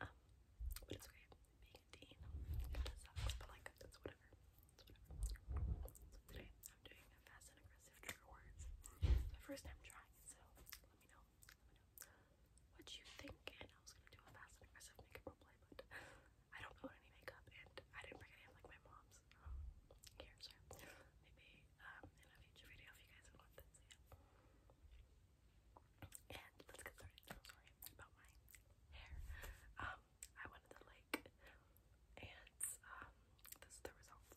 Um, but it's okay. Being a teen, it does suck, but like, it's whatever. whatever. today, I'm doing a fast and aggressive trigger It's my first time trying so let me know. what you think. And I was gonna do a fast and aggressive makeup roleplay, but I don't own any makeup, and I didn't bring any like my mom's. here, so maybe um, in a future video if you guys want that. And let's get started. sorry about my hair. Um, I went um, to the lake and um this is the results.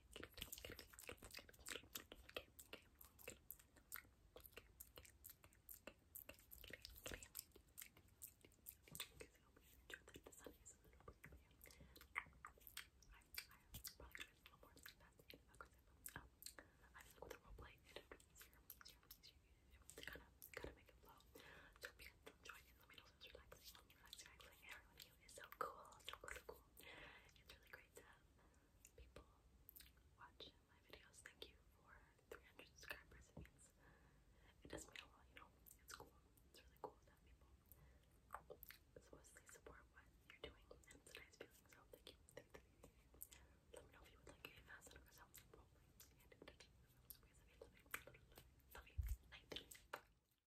I feel like with a role play, it would be easier, easier, easier, easier. To make it flow. So if you guys enjoyed let me know if it relaxing, commute so cool, It's really great to people watch my videos. Thank you for 300 subscribers. It means it mean a lot, you know. It's cool. It's really cool to people supposedly support what you're doing, and it's feeling. So thank you. Let me know if you would like a fast out yourself. love you.